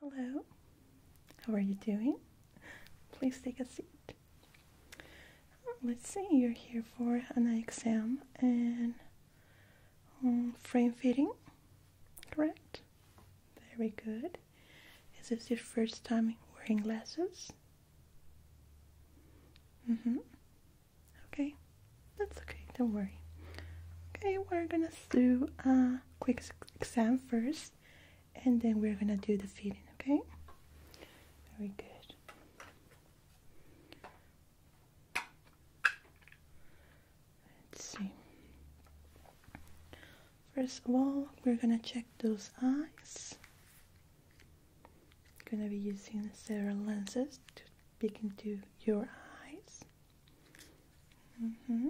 Hello, how are you doing? Please take a seat. Let's see, you're here for an eye exam and um, frame fitting, correct? Very good. Is this your first time wearing glasses? Mm-hmm. Okay, that's okay, don't worry. Okay, we're gonna do a quick exam first and then we're gonna do the feeding, okay? Very good. Let's see. First of all, we're gonna check those eyes. Gonna be using several lenses to peek into your eyes. Mm-hmm.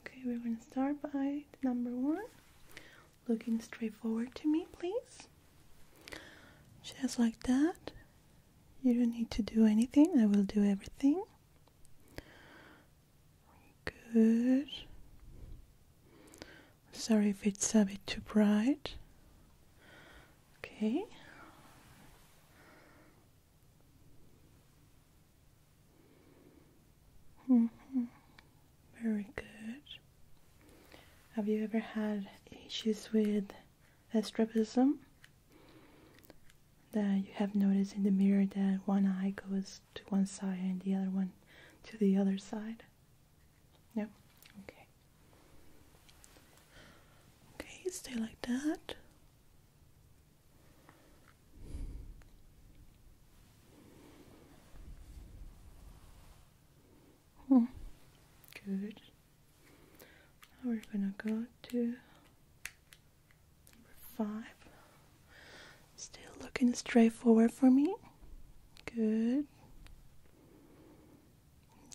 Okay, we're going to start by number one. Looking straight forward to me, please. Just like that. You don't need to do anything, I will do everything. Good. Sorry if it's a bit too bright. Okay. -hmm. Very good. Have you ever had issues with astigmatism? That you have noticed in the mirror that one eye goes to one side and the other one to the other side? Yeah. Okay. Okay, stay like that. Hmm. Good. we're gonna go to number five. Still looking straight forward for me. Good.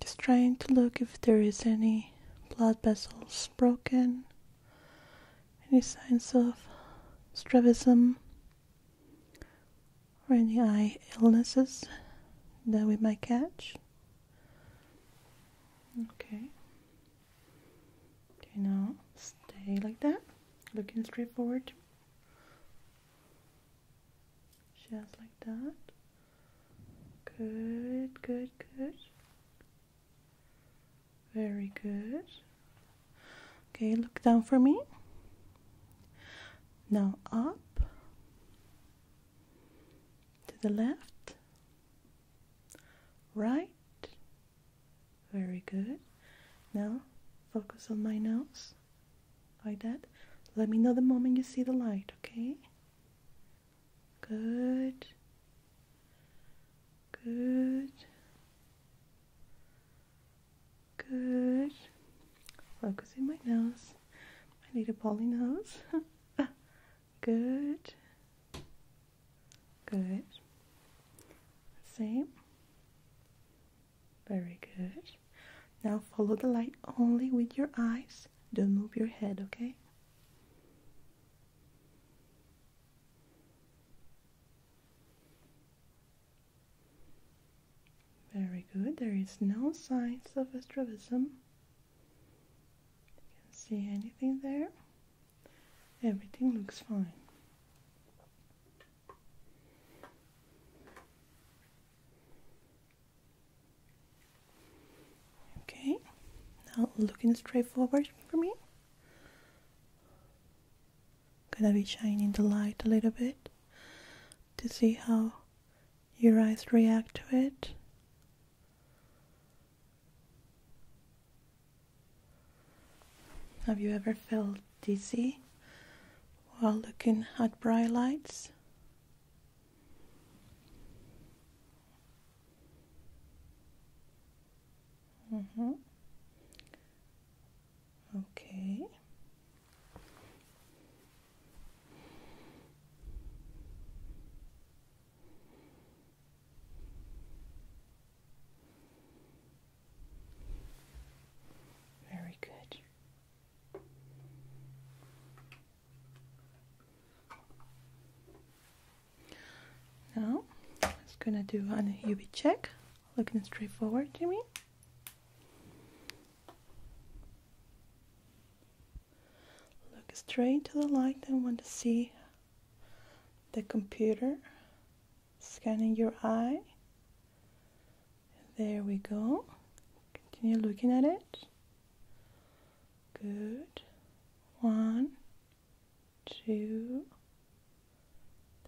Just trying to look if there is any blood vessels broken, any signs of strabism, or any eye illnesses that we might catch. Okay. Okay, now stay like that, looking straight forward. Just like that. Good, good, good. Very good. Okay, look down for me. Now up to the left, right. Very good. Now focus on my nose like that. Let me know the moment you see the light, okay? Good. Good. Good. Focusing my nose. I need a poly nose. Good. Good. Same. Very good. Now follow the light only with your eyes. Don't move your head, okay? Very good. There is no signs of strabism. You can see anything there. Everything looks fine. Okay, now looking straight forward for me. gonna be shining the light a little bit to see how your eyes react to it. Have you ever felt dizzy while looking at bright lights? Mm -hmm. Okay. Very good. Now, I'm just gonna do an UV check, looking straight forward to me. Look straight to the light and want to see the computer scanning your eye. There we go. Continue looking at it. Good. One, two,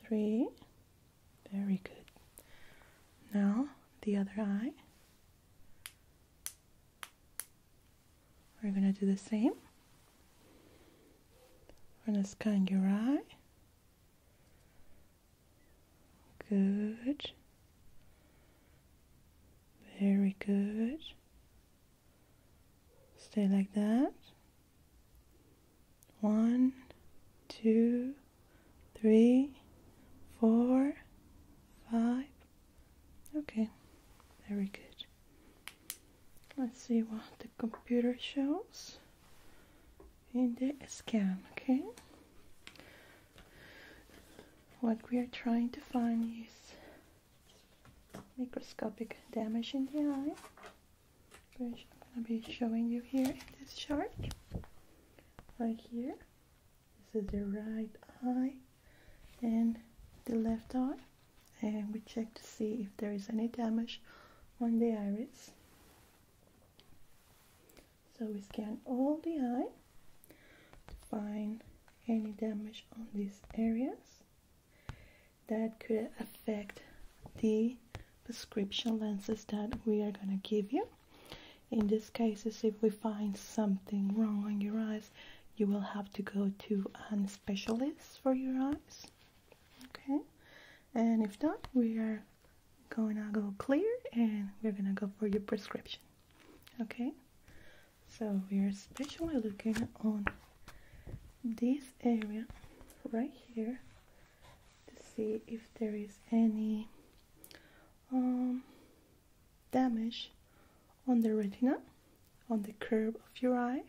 three. Very good. Now the other eye. We're going to do the same. We're going to scan your eye. Good. Very good. Stay like that. One, two, three, four, five. Okay, very good. Let's see what the computer shows in the scan, okay? what we are trying to find is microscopic damage in the eye which I'm going to be showing you here in this chart right here this is the right eye and the left eye and we check to see if there is any damage on the iris so we scan all the eye to find any damage on these areas that could affect the prescription lenses that we are going to give you. In this case, if we find something wrong on your eyes, you will have to go to a specialist for your eyes. Okay, and if not, we are going to go clear and we're going to go for your prescription okay so we are especially looking on this area right here to see if there is any um, damage on the retina on the curve of your eye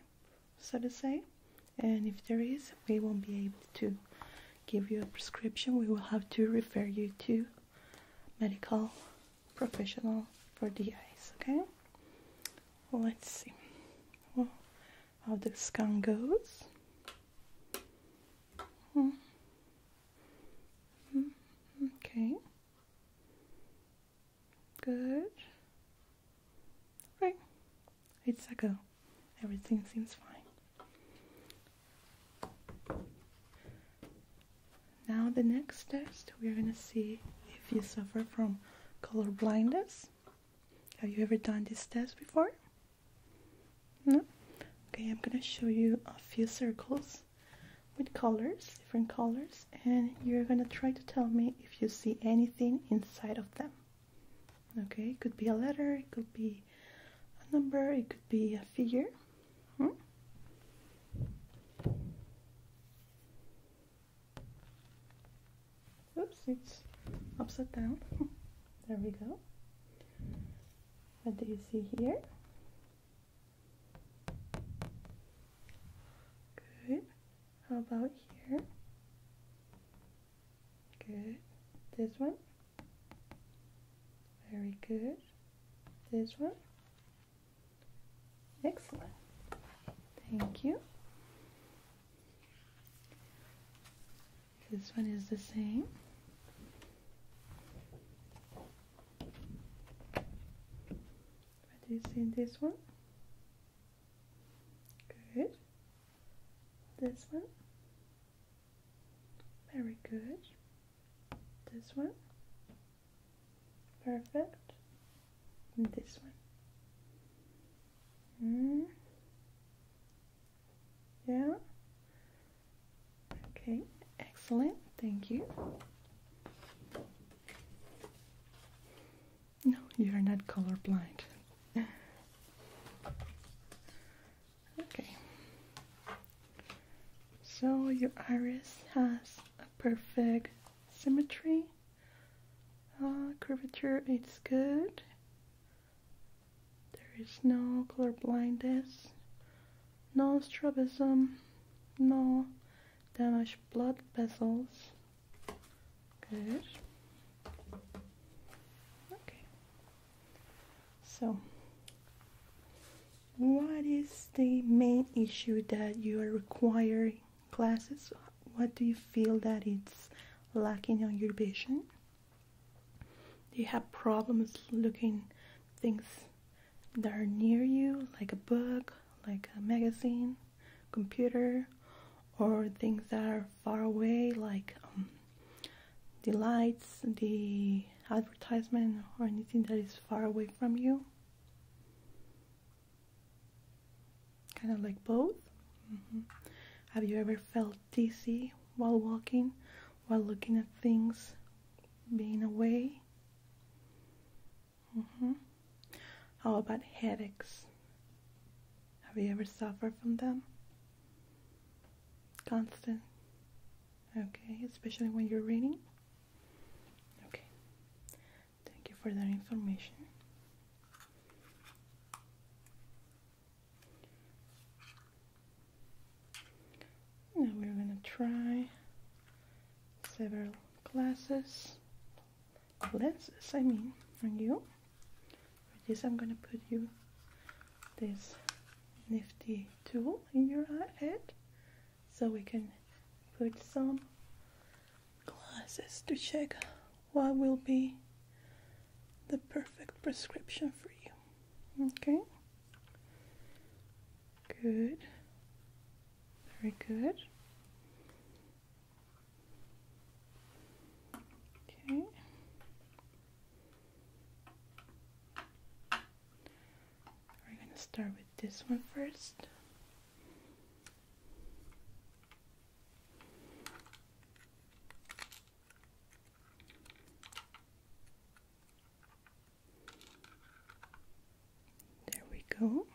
so to say and if there is we won't be able to give you a prescription we will have to refer you to medical professional for the eyes okay let's see well, how the scan goes mm. Mm. okay good okay it's a go everything seems fine now the next test, we're going to see if you suffer from color blindness. Have you ever done this test before? No? Okay, I'm going to show you a few circles with colors, different colors, and you're going to try to tell me if you see anything inside of them. Okay, it could be a letter, it could be a number, it could be a figure. Hmm? Oops, it's upside down. there we go. What do you see here? Good. How about here? Good. This one? Very good. This one? Excellent. Thank you. This one is the same. What is in this one? Good. This one? Very good. This one. Perfect. this one. Mm. Yeah. Okay, excellent. Thank you. No, you are not color blind. okay. So your iris has a perfect symmetry. Uh, curvature it's good. There is no color blindness, no strabism, no damaged blood vessels. Good. Okay. So what is the main issue that you are requiring classes? What do you feel that it's lacking on your vision? Do you have problems looking things that are near you, like a book, like a magazine, computer, or things that are far away, like um, the lights, the advertisement, or anything that is far away from you? Kind of like both. Mm-hmm. Have you ever felt dizzy while walking, while looking at things, being away? Mm-hmm. How about headaches? Have you ever suffered from them? Constant. Okay, especially when you're reading. Okay. Thank you for that information. Now we're going to try several glasses, lenses, I mean, on you. For this, I'm going to put you this nifty tool in your head so we can put some glasses to check what will be the perfect prescription for you. Okay? Good. Very good. Okay. We're gonna start with this one first. There we go.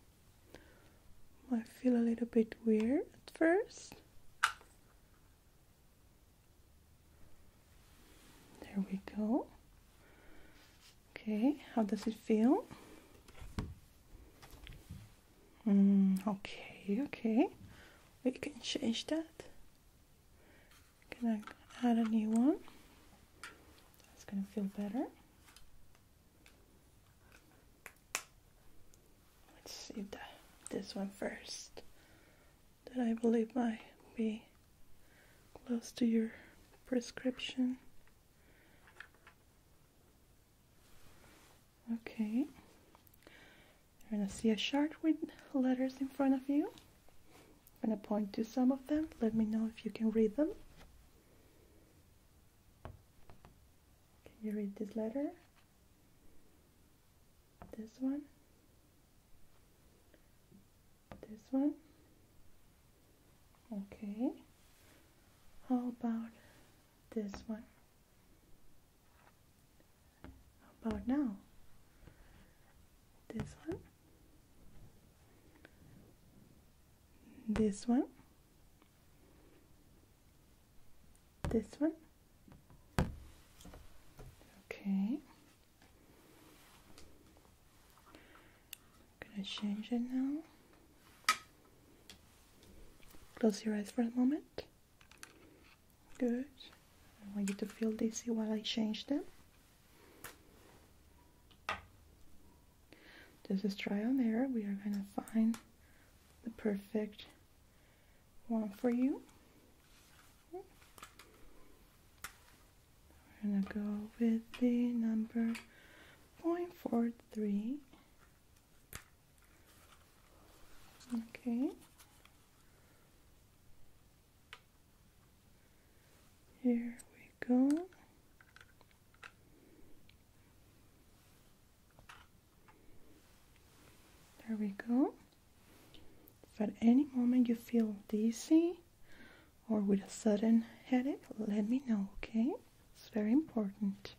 Might feel a little bit weird at first. There we go. Okay, how does it feel? Mm, okay, okay. We can change that. Can I add a new one? That's gonna feel better. Let's see the, this one first. That I believe might be close to your prescription. Okay. You're gonna see a chart with letters in front of you. I'm gonna point to some of them. Let me know if you can read them. Can you read this letter? This one? this one okay how about this one how about now this one this one this one okay I'm gonna change it now. Close your eyes for a moment. Good. I want you to feel dizzy while I change them. This is trial on error. We are gonna find the perfect one for you. We're gonna go with the number 0.43. Okay. Here we go. There we go. If at any moment you feel dizzy, or with a sudden headache, let me know, okay? It's very important.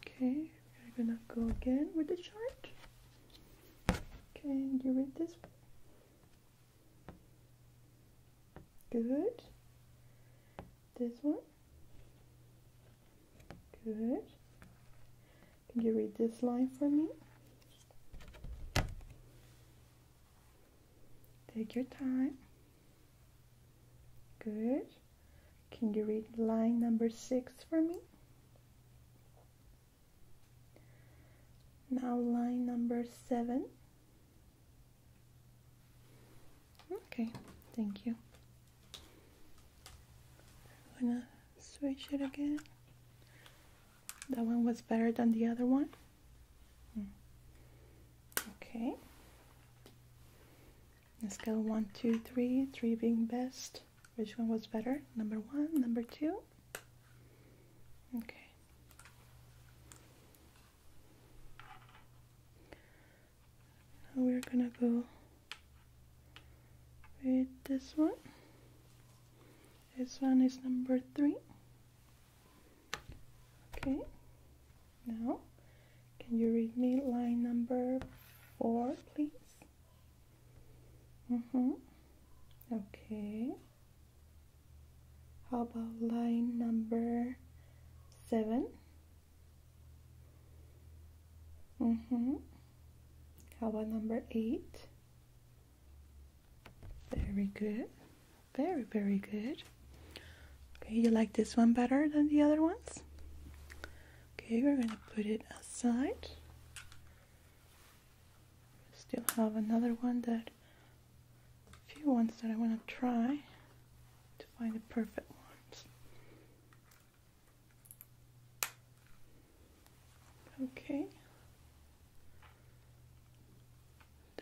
Okay, we're gonna go again with the chart. Can you read this? Good. This one. Good. Can you read this line for me? Take your time. Good. Can you read line number six for me? Now line number seven. Okay, thank you. I'm gonna switch it again. That one was better than the other one. Okay. Let's On scale one, two, three, three being best. Which one was better? Number one, number two? Okay. Now we're gonna go with this one. This one is number three. Okay, now can you read me line number four, please? Mm-hmm. Okay. How about line number seven? Mm-hmm. How about number eight? Very good. Very, very good. Okay, you like this one better than the other ones? Okay, we're gonna put it aside. Still have another one that, a few ones that I wanna try to find the perfect ones. Okay.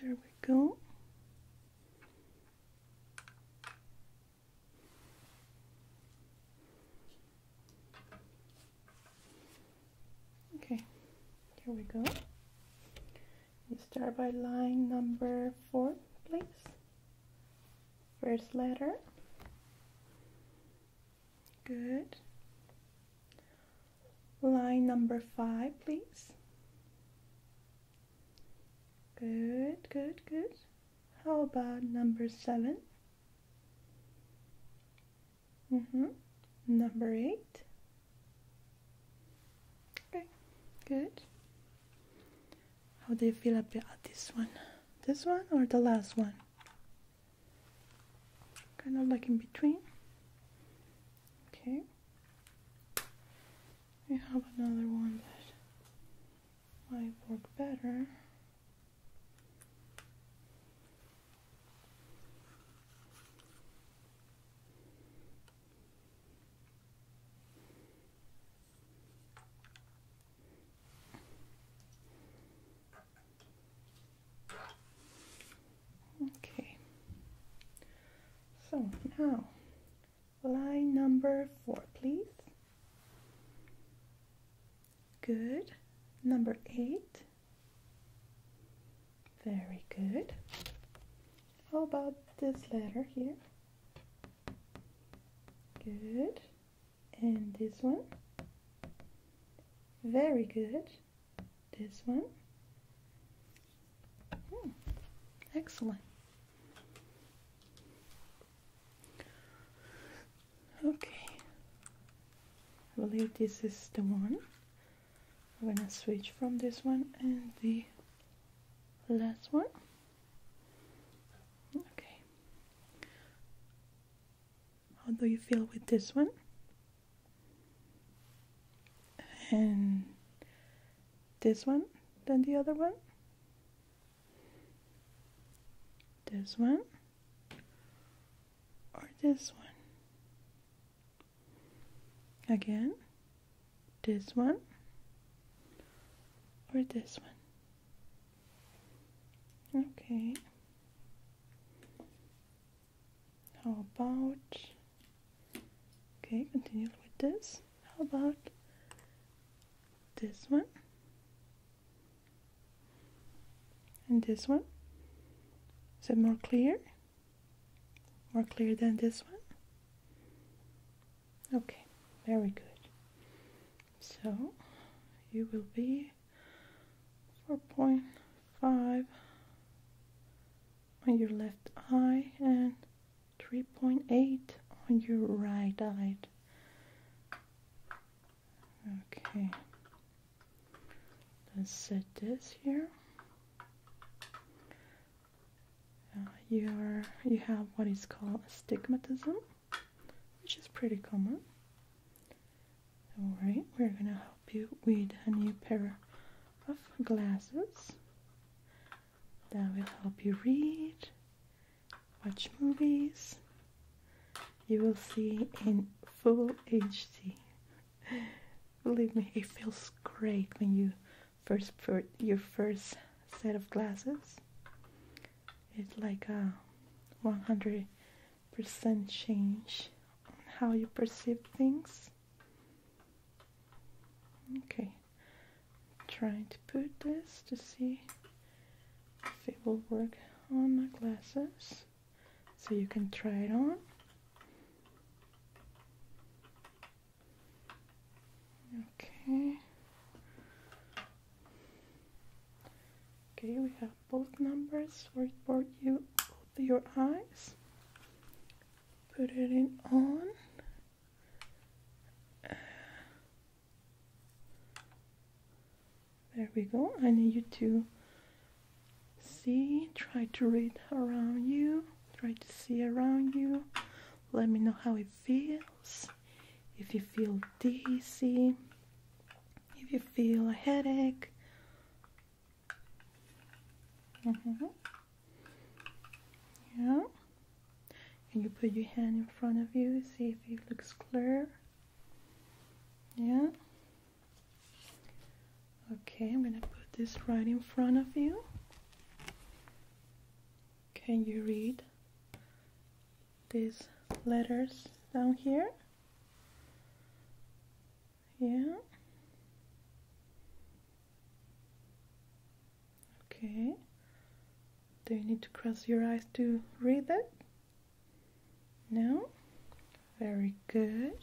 There we go. Okay, here we go. You start by line number four, please. First letter. Good line number five, please. Good, good, good. How about number seven? Mm-hmm. Number eight. Okay, good. How do you feel about this one? This one or the last one? Kind of like in between. Okay. We have another one that might work better. Okay. So now, line number four, please. Good. Number eight. Very good. How about this letter here? Good. And this one? Very good this one. Hmm. Excellent. Okay, I believe this is the one. I'm gonna switch from this one and the last one. Okay, how do you feel with this one? And this one then the other one. This one or this one. Again, this one or this one. Okay. How about Okay, continue with this. How about this one? And this one? Is it more clear? More clear than this one? Okay, very good. So you will be 4.5 on your left eye and 3.8 on your right eye. Okay. Let's set this here. Uh, you are you have what is called astigmatism, which is pretty common. All right, we're gonna help you with a new pair of glasses that will help you read, watch movies. You will see in full HD. Believe me, it feels great when you first put your first set of glasses. It's like a 100% change on how you perceive things. Okay, trying to put this to see if it will work on my glasses. So you can try it on. Okay. Okay, we have both numbers for both you both your eyes. Put it in on there we go. I need you to see, try to read around you, try to see around you. Let me know how it feels. If you feel dizzy, if you feel a headache. -hmm yeah and you put your hand in front of you see if it looks clear yeah okay i'm gonna put this right in front of you can you read these letters down here yeah Okay. Do you need to cross your eyes to read it? No? Very good.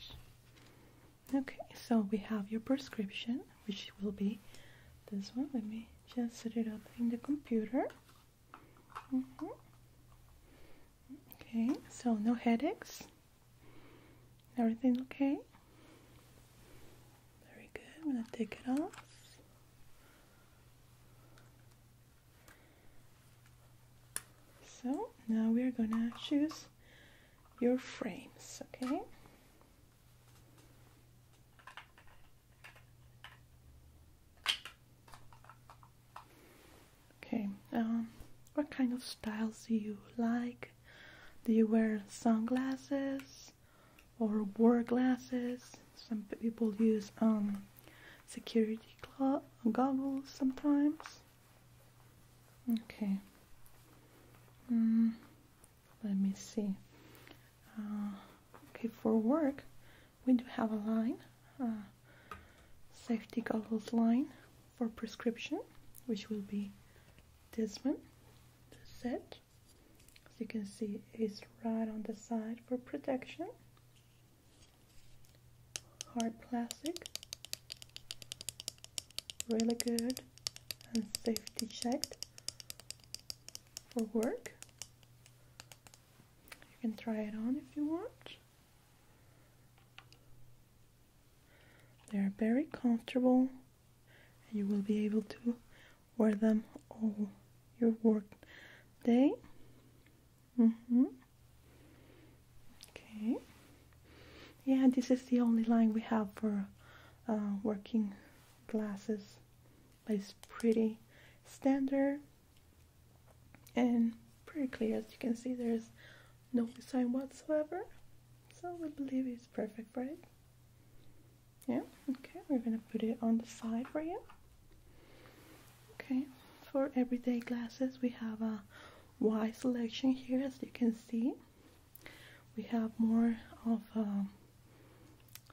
Okay, so we have your prescription, which will be this one. Let me just set it up in the computer. Mm-hmm. Okay, so no headaches. Everything's okay? Very good. I'm going to take it off. So now we're going to choose your frames, okay? Okay, um, what kind of styles do you like? Do you wear sunglasses? or wore glasses. Some people use um, security goggles sometimes. Okay. Hmm, let me see. Uh, okay, for work, we do have a line, uh, safety goggles line for prescription, which will be this one, This set. As you can see, it's right on the side for protection. Hard plastic. Really good and safety checked for work. You can try it on if you want. They're very comfortable and you will be able to wear them all your work day. Mm-hmm. Okay. Yeah, this is the only line we have for uh, working glasses, it's pretty standard and pretty clear. As you can see, there's no design whatsoever, so we believe it's perfect, right? Yeah, okay, we're gonna put it on the side for you. Okay, for everyday glasses, we have a wide selection here, as you can see. We have more of, uh,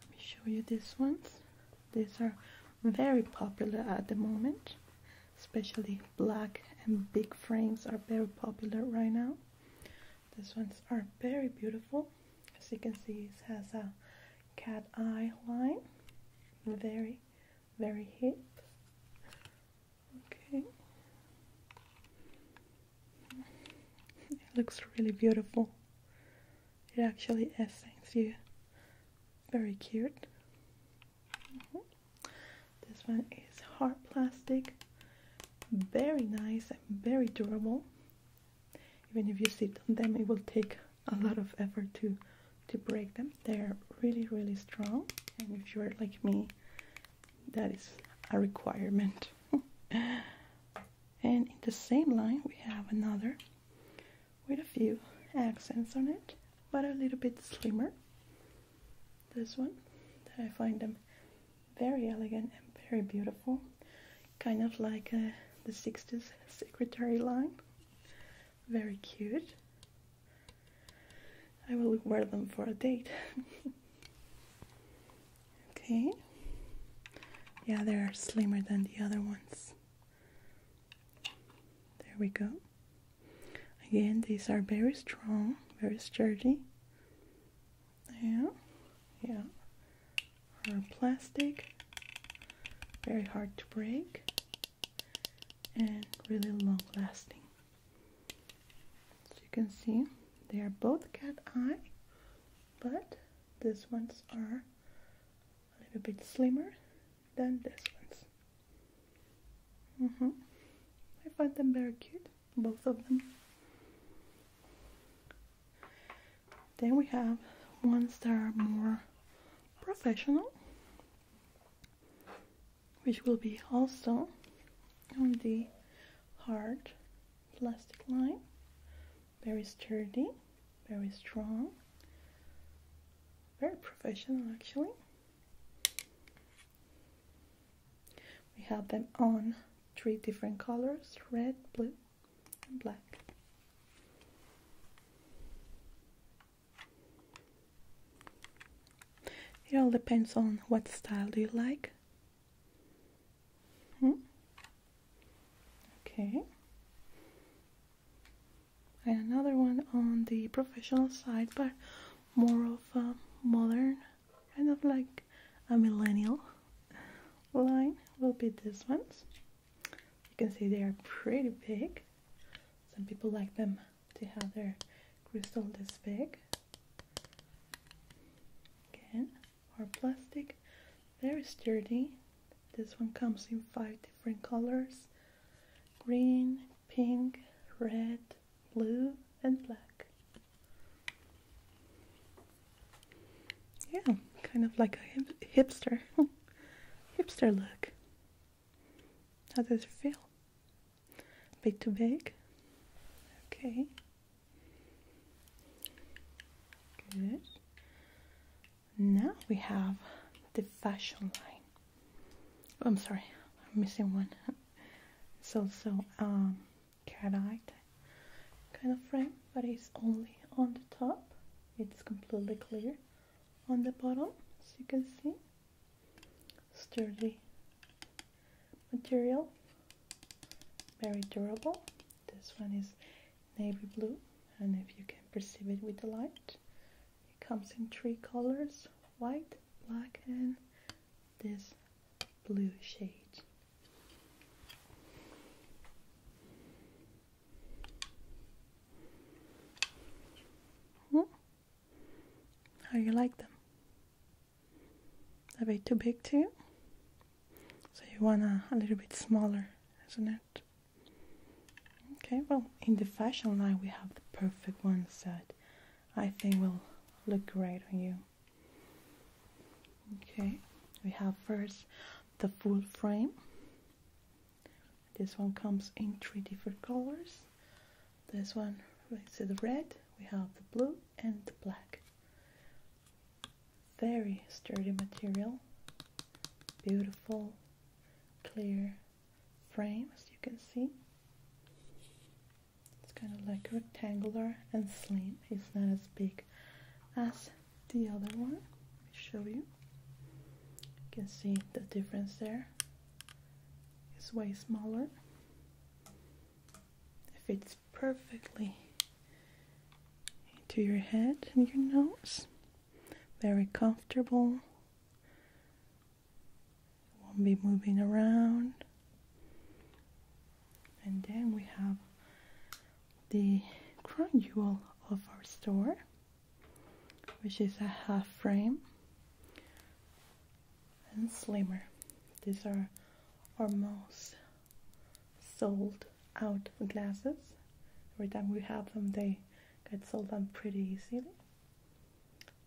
let me show you these ones. These are very popular at the moment, especially black and big frames are very popular right now. This ones are very beautiful. As you can see, it has a cat eye line. Very, very hip. Okay. looks really beautiful. It actually is, you. Very cute. Mm-hmm. This one is hard plastic very nice and very durable even if you sit on them it will take a lot of effort to to break them they're really really strong and if you're like me that is a requirement and in the same line we have another with a few accents on it but a little bit slimmer this one that I find them very elegant and very beautiful, kind of like uh, the 60s secretary line. Very cute. I will wear them for a date. okay. Yeah, they are slimmer than the other ones. There we go. Again, these are very strong, very sturdy. Yeah, yeah. Or plastic, very hard to break, and really long lasting. So you can see they are both cat eye, but these ones are a little bit slimmer than this ones. Mm -hmm. I find them very cute both of them. Then we have ones that are more professional, which will be also on the hard plastic line, very sturdy, very strong, very professional actually. We have them on three different colors red, blue, and black. It all depends on what style do you like. Hmm? Okay. And another one on the professional side, but more of a modern kind of like a millennial line will be this ones. You can see they are pretty big. Some people like them to have their crystal this big. Again, or plastic, very sturdy. This one comes in five different colors green, pink, red, blue, and black. Yeah, kind of like a hipster. hipster look. How does it feel? A bit too big? Okay. Good. Now we have the fashion line. Oh, I'm sorry, I'm missing one. It's also um, Cardite kind of frame, but it's only on the top. It's completely clear on the bottom, as you can see. Sturdy material, very durable. This one is navy blue, and if you can perceive it with the light, it comes in three colors white, black, and this blue shade. Hmm? How you like them? Are they too big too? So you want a, a little bit smaller, isn't it? Okay, well, in the fashion line we have the perfect ones that I think will look great on you okay we have first the full frame this one comes in three different colors this one we see the red we have the blue and the black very sturdy material beautiful clear frame as you can see it's kind of like rectangular and slim it's not as big as the other one. Let me show you. You can see the difference there. It's way smaller. fits perfectly into your head and your nose. Very comfortable. Won't be moving around. And then we have the crown jewel of our store, which is a half frame and slimmer. These are our most sold out glasses. Every time we have them, they get sold out pretty easily.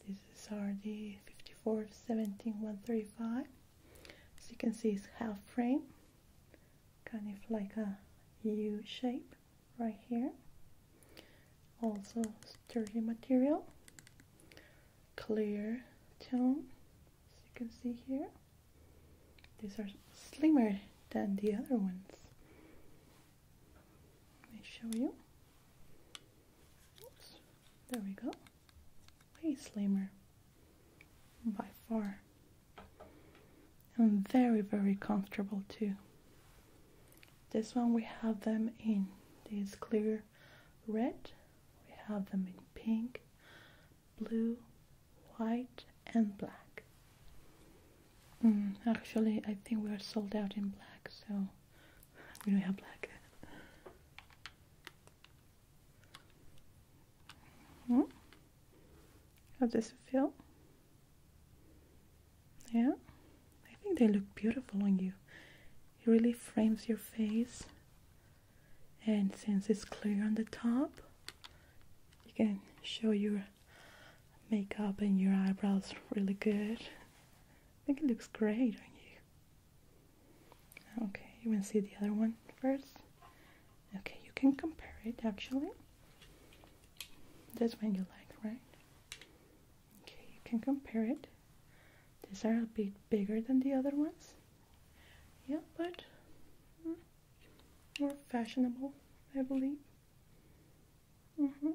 This is the 54, 17, 135. As you can see, it's half frame kind of like a U shape right here. Also sturdy material, clear tone, as you can see here. These are slimmer than the other ones. Let me show you. there we go way slimmer by far and very very comfortable too this one we have them in this clear red we have them in pink blue white and black mm, actually i think we are sold out in black so we don't have black Mm How does it feel? Yeah, I think they look beautiful on you. It really frames your face, and since it's clear on the top, you can show your makeup and your eyebrows really good. I think it looks great on you. Okay, you want to see the other one first? Okay, you can compare it actually. This one you like, right? Okay, you can compare it. These are a bit bigger than the other ones. Yeah, but mm, more fashionable, I believe. Mm -hmm.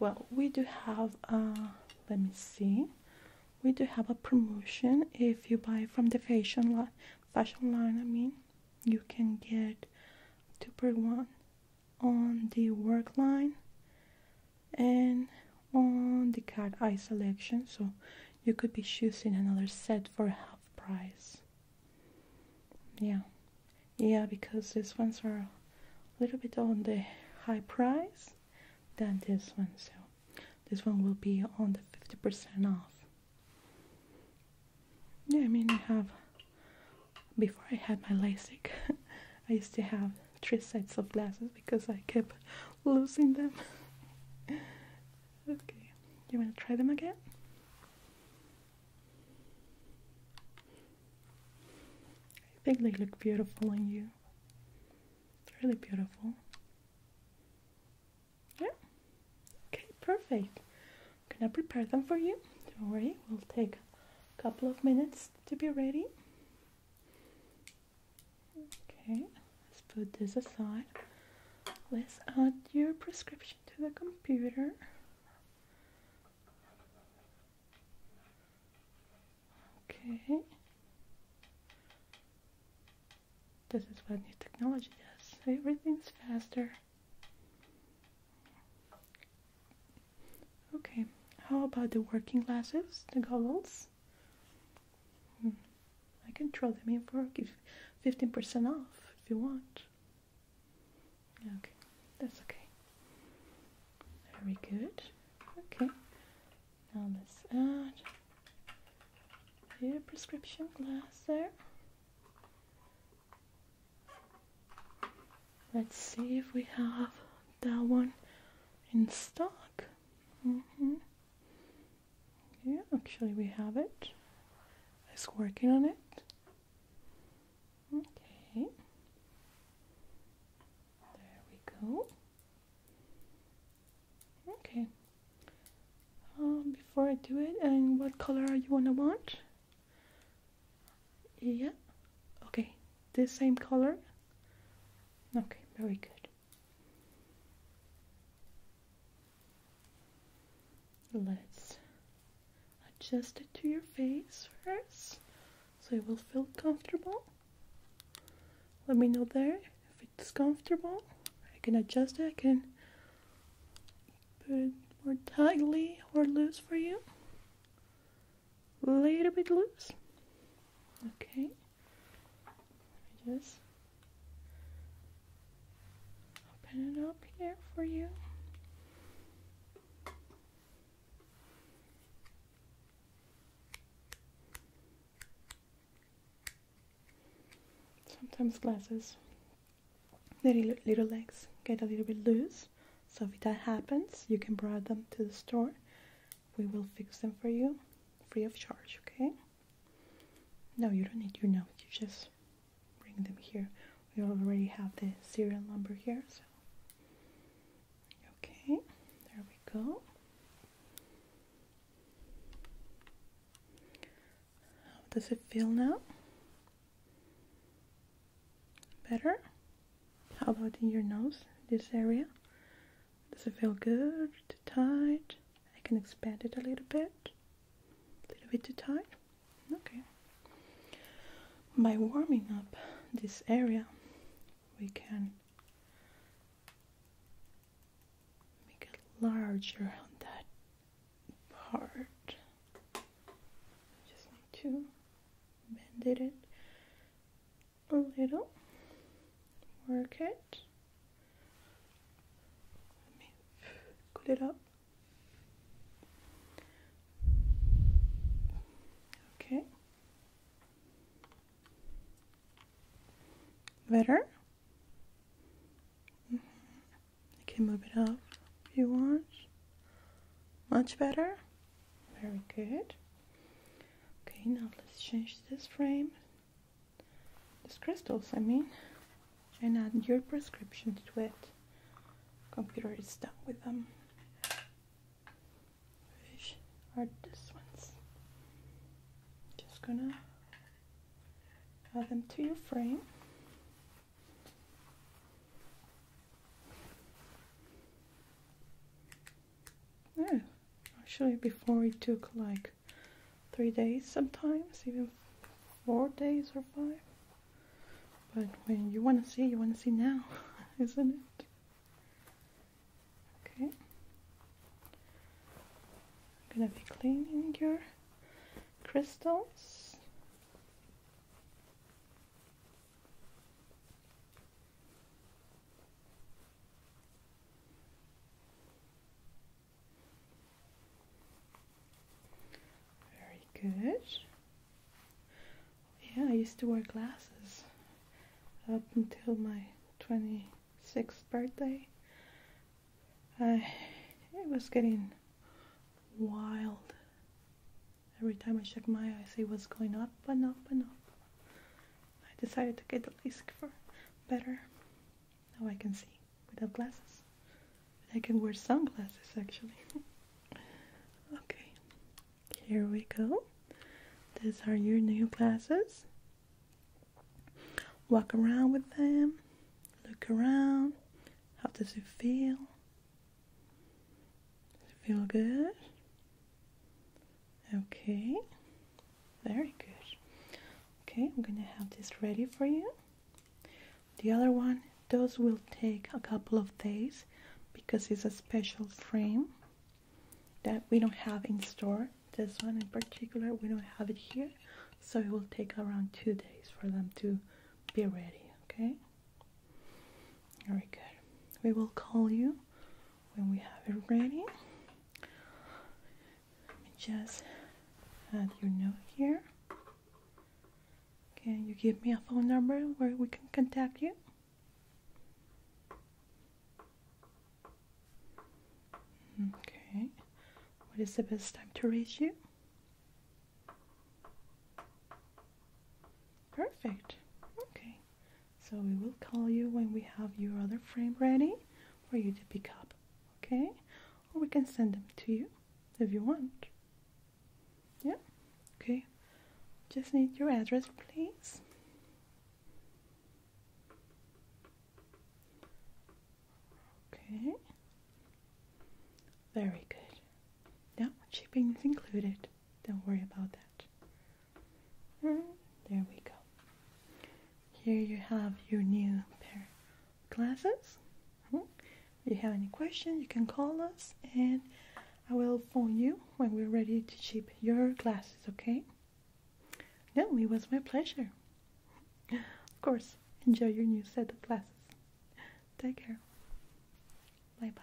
Well, we do have, uh, let me see, we do have a promotion if you buy from the fashion line fashion line i mean you can get two for one on the work line and on the cat eye selection so you could be choosing another set for half price yeah yeah because these ones are a little bit on the high price than this one so this one will be on the 50% off. Yeah, I mean, I have, before I had my LASIK, I used to have three sets of glasses because I kept losing them. okay, you wanna try them again? I think they look beautiful on you. It's Really beautiful. Yeah. Okay, perfect. I'm gonna prepare them for you. Don't worry, we'll take a couple of minutes to be ready. Okay, let's put this aside. Let's add your prescription to the computer. Okay. This is what new technology does. Everything's faster. Okay, how about the working glasses, the goggles? Hmm, I can throw them in for give 15% off if you want. Okay, that's okay. Very good. Okay, now let's add your prescription glass there. Let's see if we have that one in stock. Mm-hmm. Yeah, actually we have it. I was working on it. Okay. There we go. Okay. Um, before I do it, and what color you wanna want? Yeah. Okay. This same color. Okay. Very good. Let's adjust it to your face first, so it will feel comfortable. Let me know there it's comfortable, I can adjust it. I can put it more tightly or loose for you. A little bit loose. Okay. just open it up here for you. Sometimes glasses, their little legs get a little bit loose. So if that happens, you can bring them to the store. We will fix them for you free of charge, okay? No, you don't need your note. You just bring them here. We already have the serial number here, so. Okay, there we go. How does it feel now? Better? How about in your nose, this area? Does it feel good? tight? I can expand it a little bit. A little bit too tight? Okay. By warming up this area, we can make it large around that part. Just need to bend it a little, work it. Let it up. Okay. Better? Mm You can move it up if you want. Much better? Very good. Okay, now let's change this frame. These crystals, I mean. And add your prescription to it. Computer is done with them. Which are these ones. Just gonna Add them to your frame. Yeah, actually before it took like three days sometimes, even four days or five. But when you want to see, you want to see now, isn't it? Okay, I'm gonna be cleaning your crystals. Very good. Yeah, I used to wear glasses up until my 26th birthday. Uh, it was getting wild. Every time I checked my eyes, it was going up and up and up. I decided to get the LASIK for better. Now I can see without glasses. I can wear sunglasses actually. okay, here we go. These are your new glasses. Walk around with them, look around. How does it feel? feel good? Okay, very good. Okay, I'm gonna have this ready for you. The other one, those will take a couple of days because it's a special frame that we don't have in store this one in particular we don't have it here so it will take around two days for them to be ready okay very good we will call you when we have it ready let me just add your note here can you give me a phone number where we can contact you Okay. What is the best time to reach you? Perfect. Okay. So we will call you when we have your other frame ready for you to pick up. Okay? Or we can send them to you if you want. Yeah? Okay. Just need your address, please. Okay. Very good. Now shipping is included. Don't worry about that. there we go. Here you have your new pair of glasses. Hmm? If you have any questions? you can call us and I will phone you when we're ready to ship your glasses, okay? No, it was my pleasure. Of course, enjoy your new set of glasses. Take care. Bye bye.